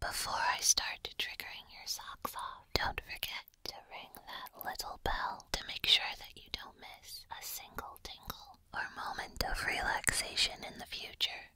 Before I start triggering your socks off, don't forget to ring that little bell to make sure that you don't miss a single tingle or moment of relaxation in the future.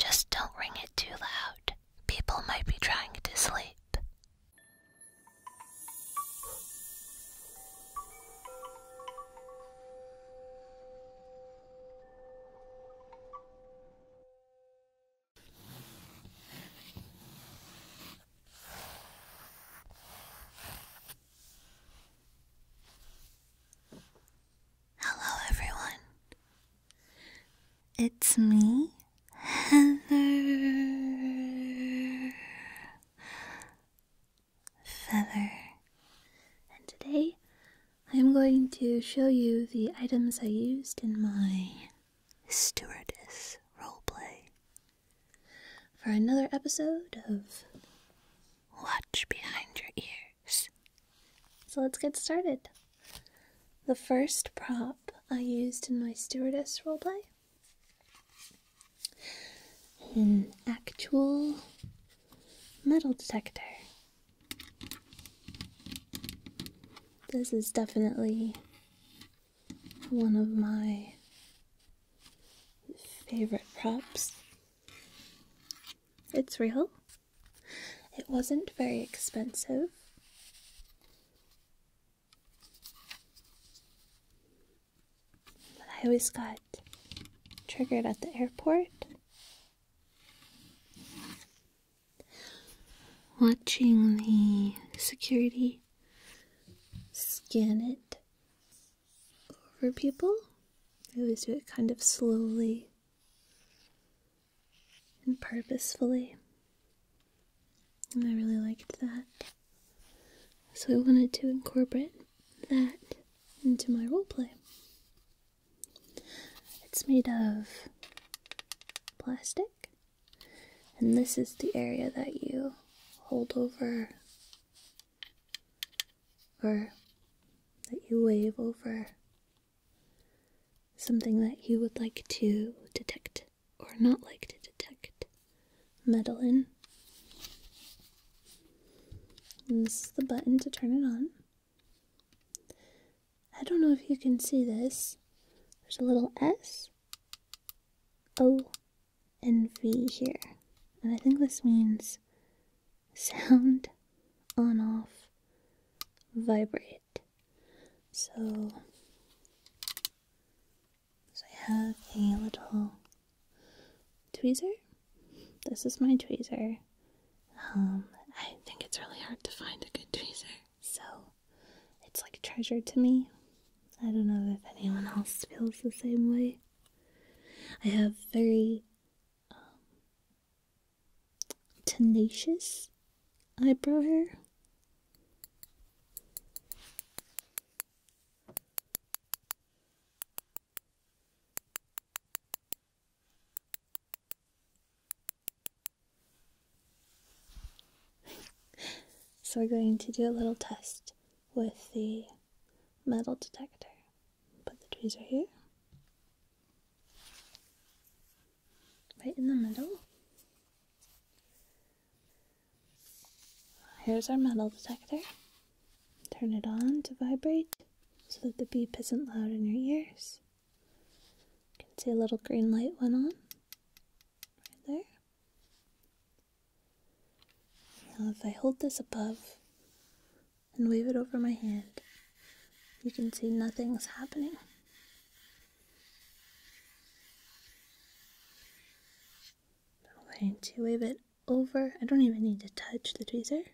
Just don't ring it too loud. People might be trying to sleep. Hello, everyone. It's me, Heather Feather, and today I am going to show you the items I used in my stewardess roleplay for another episode of Watch Behind Your Ears. So let's get started. The first prop I used in my stewardess roleplay an actual Metal detector. This is definitely one of my favorite props. It's real. It wasn't very expensive. But I always got triggered at the airport Watching the security scan it over people. I always do it kind of slowly and purposefully. And I really liked that. So I wanted to incorporate that into my role play. It's made of plastic, and this is the area that you hold over or that you wave over something that you would like to detect or not like to detect metal in. And this is the button to turn it on. I don't know if you can see this. There's a little S, O, and V here. And I think this means sound on off vibrate. So, so I have a little tweezer. This is my tweezer. Um, I think it's really hard to find a good tweezer, so it's like treasure to me. I don't know if anyone else feels the same way. I have very um, tenacious eyebrow hair. so we're going to do a little test with the metal detector. Put the tweezer here. Right in the middle. Here's our metal detector. Turn it on to vibrate so that the beep isn't loud in your ears. You can see a little green light went on right there. Now, if I hold this above and wave it over my hand, you can see nothing's happening. I'm going to wave it over. I don't even need to touch the tweezer.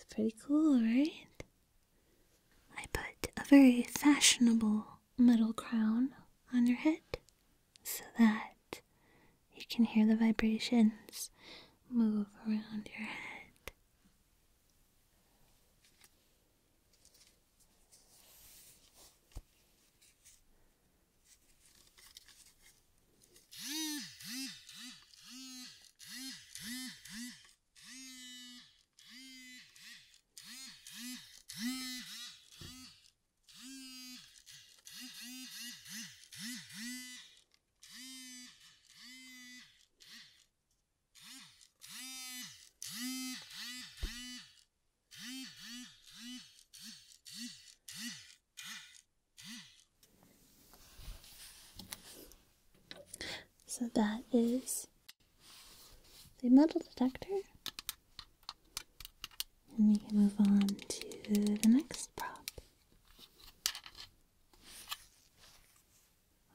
It's pretty cool, right? I put a very fashionable metal crown on your head so that you can hear the vibrations move around your head. So that is the metal detector. And we can move on to the next prop.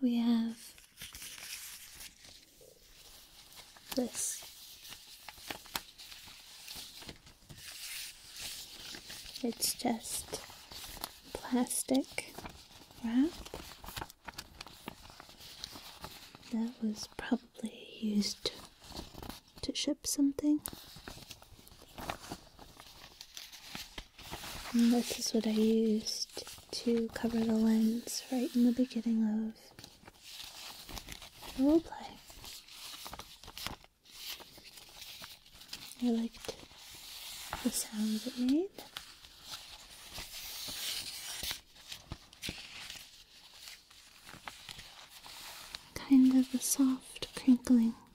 We have this. It's just plastic wrap that was probably used to ship something. this is what I used to cover the lens right in the beginning of the roleplay. I liked the sounds it made. Kind of a soft crinkling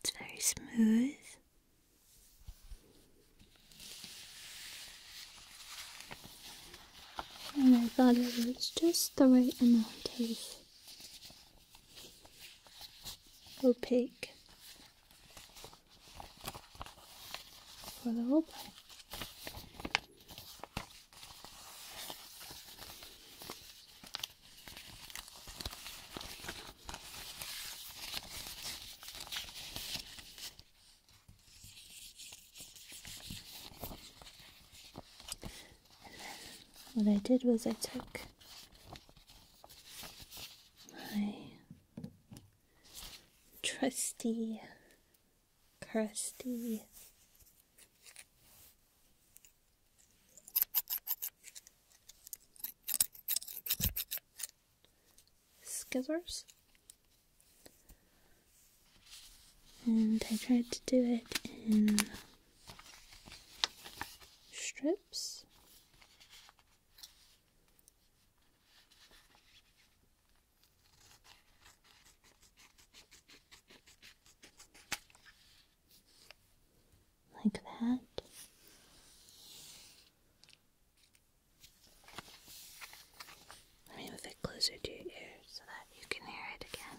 It's very smooth. And oh I thought it was just the right amount of opaque for the whole part what I did was I took my trusty, crusty scissors and I tried to do it in strips like that. Let me move it closer to your ear so that you can hear it again.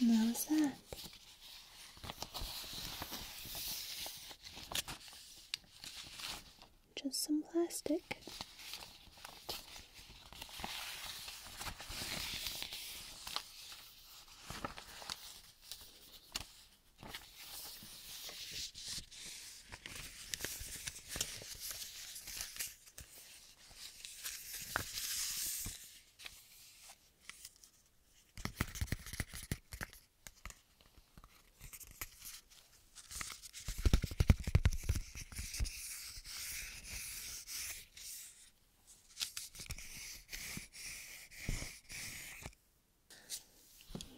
And that that. Just some plastic.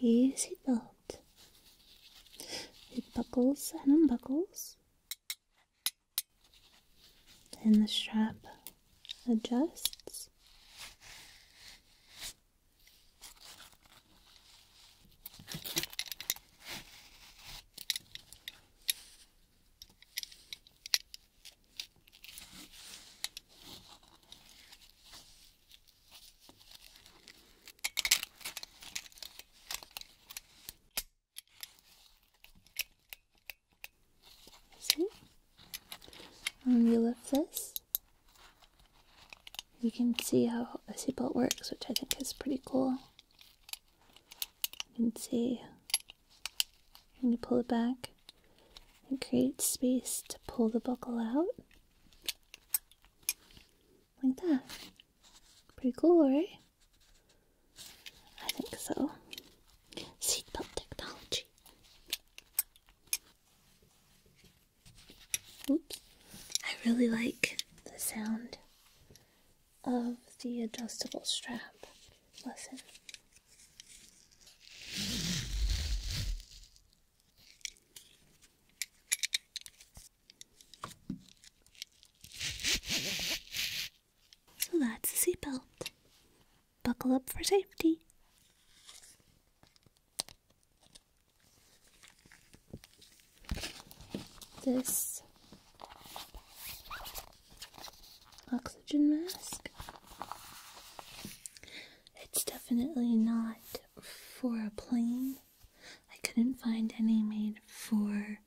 Yes, it belt. It buckles and unbuckles and the strap adjusts. See? On the left this, you can see how a seatbelt works, which I think is pretty cool. You can see when you pull it back, it creates space to pull the buckle out. Like that. Pretty cool, right? I think so. Seatbelt technology. Oops. I really like the sound of the adjustable strap. Listen. So that's a seatbelt. Buckle up for safety. This oxygen mask. It's definitely not for a plane. I couldn't find any made for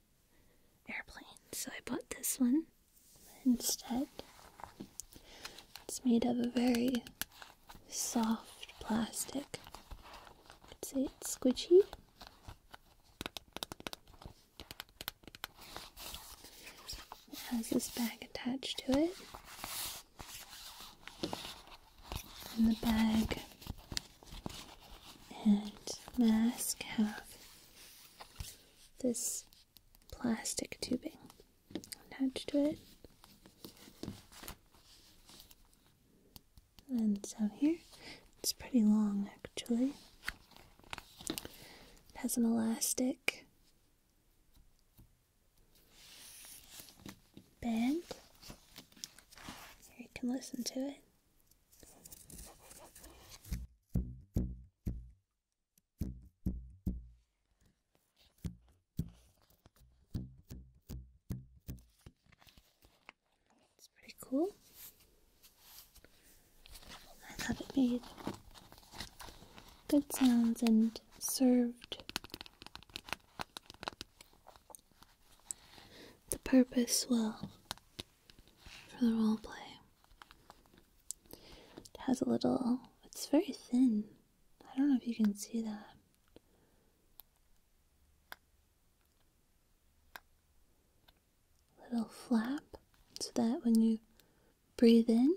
airplane, so I bought this one instead. It's made of a very soft plastic. I could say it's squishy. It has this bag attached to it. And the bag and mask have this plastic tubing attached to it. And it's here. It's pretty long actually. It has an elastic bend. you can listen to it. It's pretty cool. I love it made good sounds and served the purpose well for the role play. It has a little, it's very thin. I don't know if you can see that. Little flap so that when you breathe in,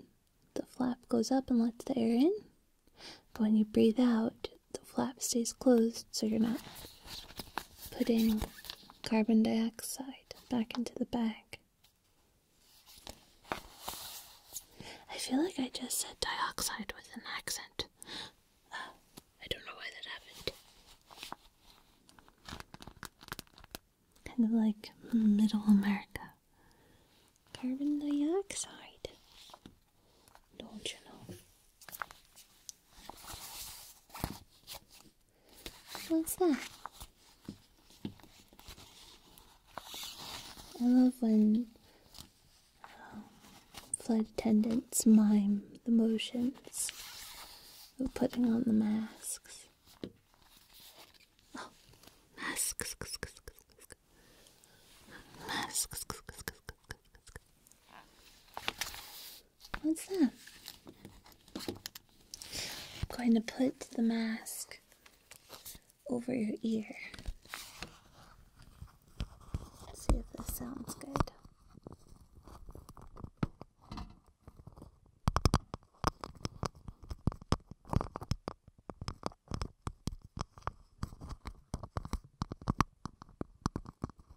the flap goes up and lets the air in. But when you breathe out, the flap stays closed so you're not putting carbon dioxide back into the bag. I feel like I just said dioxide with an accent. Uh, I don't know why that happened. Kind of like middle America. Carbon dioxide. Don't you know? What's that? I love when flight um, attendants mime the motions of putting on the masks. Oh, masks. Masks. What's that? I'm going to put the mask over your ear. see if this sounds good.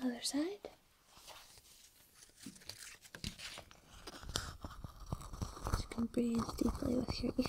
Other side. You can breathe deeply with your ears.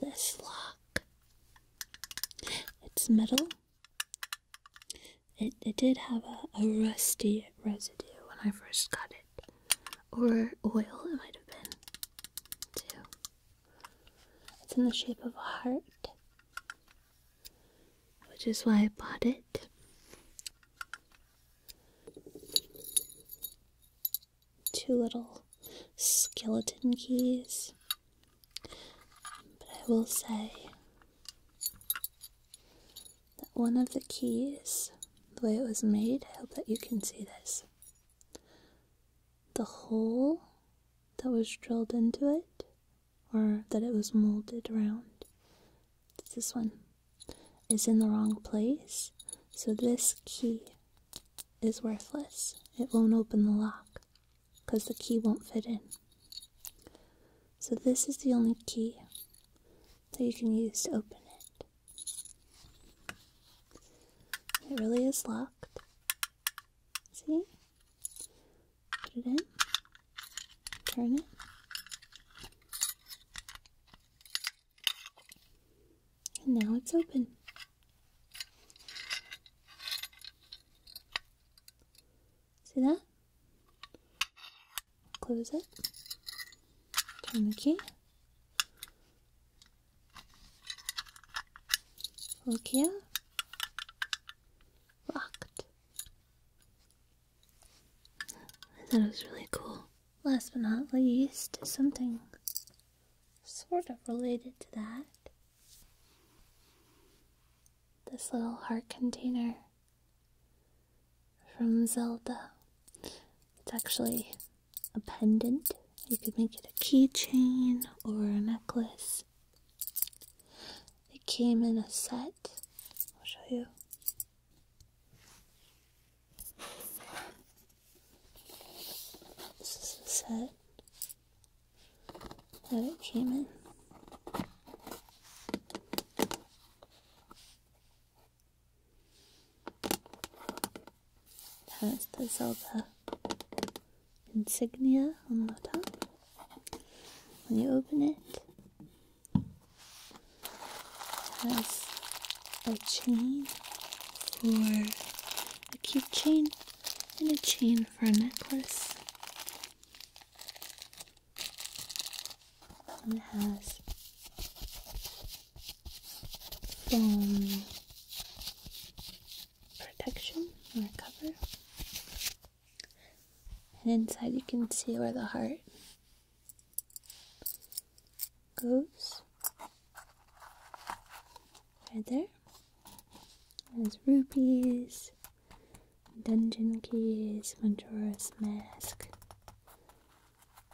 this lock. It's metal. It, it did have a, a rusty residue when I first got it. Or oil, it might have been, too. It's in the shape of a heart, which is why I bought it two little skeleton keys. But I will say that one of the keys, the way it was made, I hope that you can see this. The hole that was drilled into it, or that it was molded around, this one, is in the wrong place. So this key is worthless. It won't open the lock because the key won't fit in. So, this is the only key that you can use to open it. It really is locked. See? Put it in, turn it. And now it's open. See that? Close it. Turn the key. Look here. Locked. I thought it was really cool. Last but not least, something sort of related to that. This little heart container from Zelda. It's actually a pendant. You could make it a keychain or a necklace. It came in a set. I'll show you. This is his head. That it came in. has the Zelda insignia on the top. When you open it has a chain for a cute chain, and a chain for a necklace. it has foam protection or cover. And inside you can see where the heart goes there. there's rupees, dungeon keys, Majora's mask,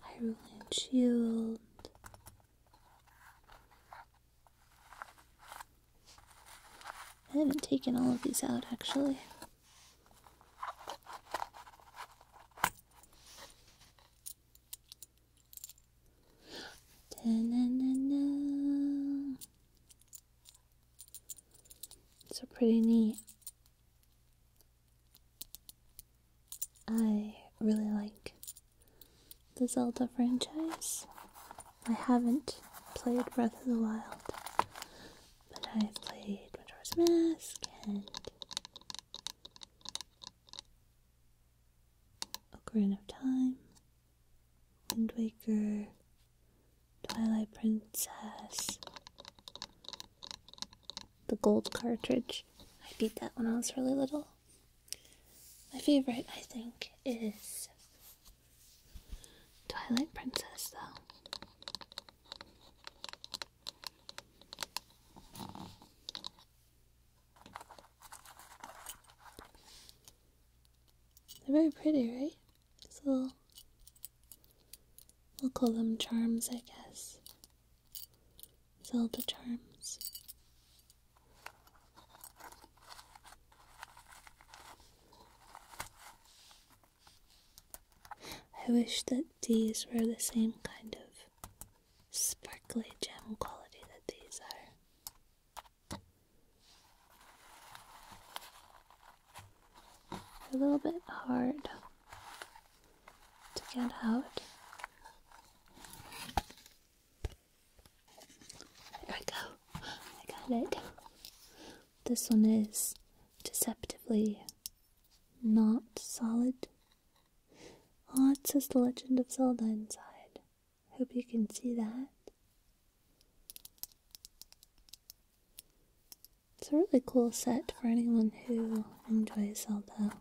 Hyrulean shield. I haven't taken all of these out actually. So pretty neat. I really like the Zelda franchise. I haven't played Breath of the Wild, but I've played Mask and Ocarina of Time, Wind Waker, Twilight Princess, the gold cartridge. I beat that when I was really little. My favorite, I think, is Twilight Princess, though. They're very pretty, right? So we'll call them charms, I guess. Zelda charms. I wish that these were the same kind of sparkly gem quality that these are. A little bit hard to get out. There we go. I got it. This one is deceptively not solid. Oh, it says The Legend of Zelda inside. Hope you can see that. It's a really cool set for anyone who enjoys Zelda.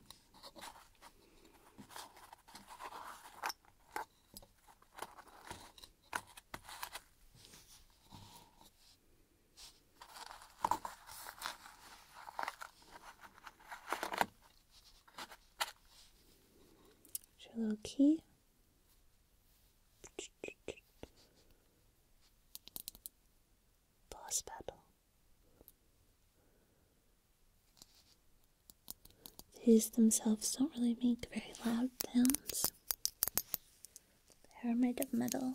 There's your little key. Boss battle. These themselves don't really make very loud sounds. They are made of metal.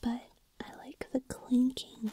But I like the clinking.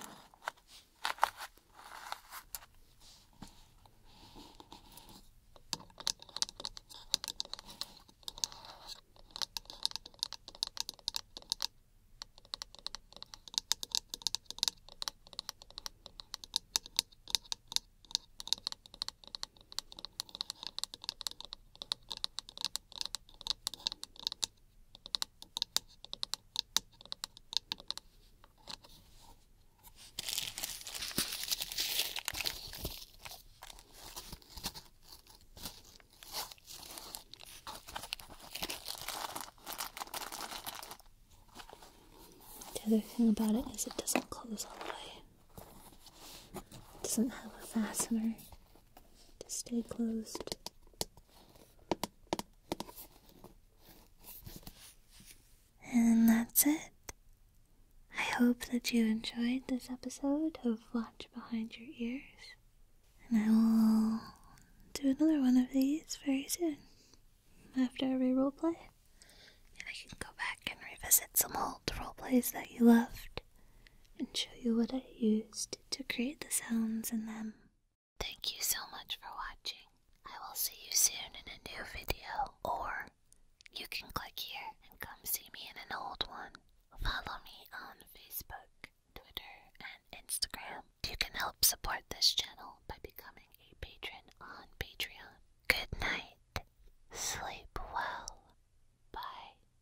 The other thing about it is it doesn't close all the way. It doesn't have a fastener to stay closed. And that's it. I hope that you enjoyed this episode of Watch Behind Your Ears. And I will do another one of these very soon. After every role play, And I can go back and revisit some old role plays that you loved and show you what I used to create the sounds in them. Thank you so much for watching. I will see you soon in a new video, or you can click here and come see me in an old one. Follow me on Facebook, Twitter, and Instagram. You can help support this channel by becoming a patron on Patreon. Good night. Sleep well. Bye.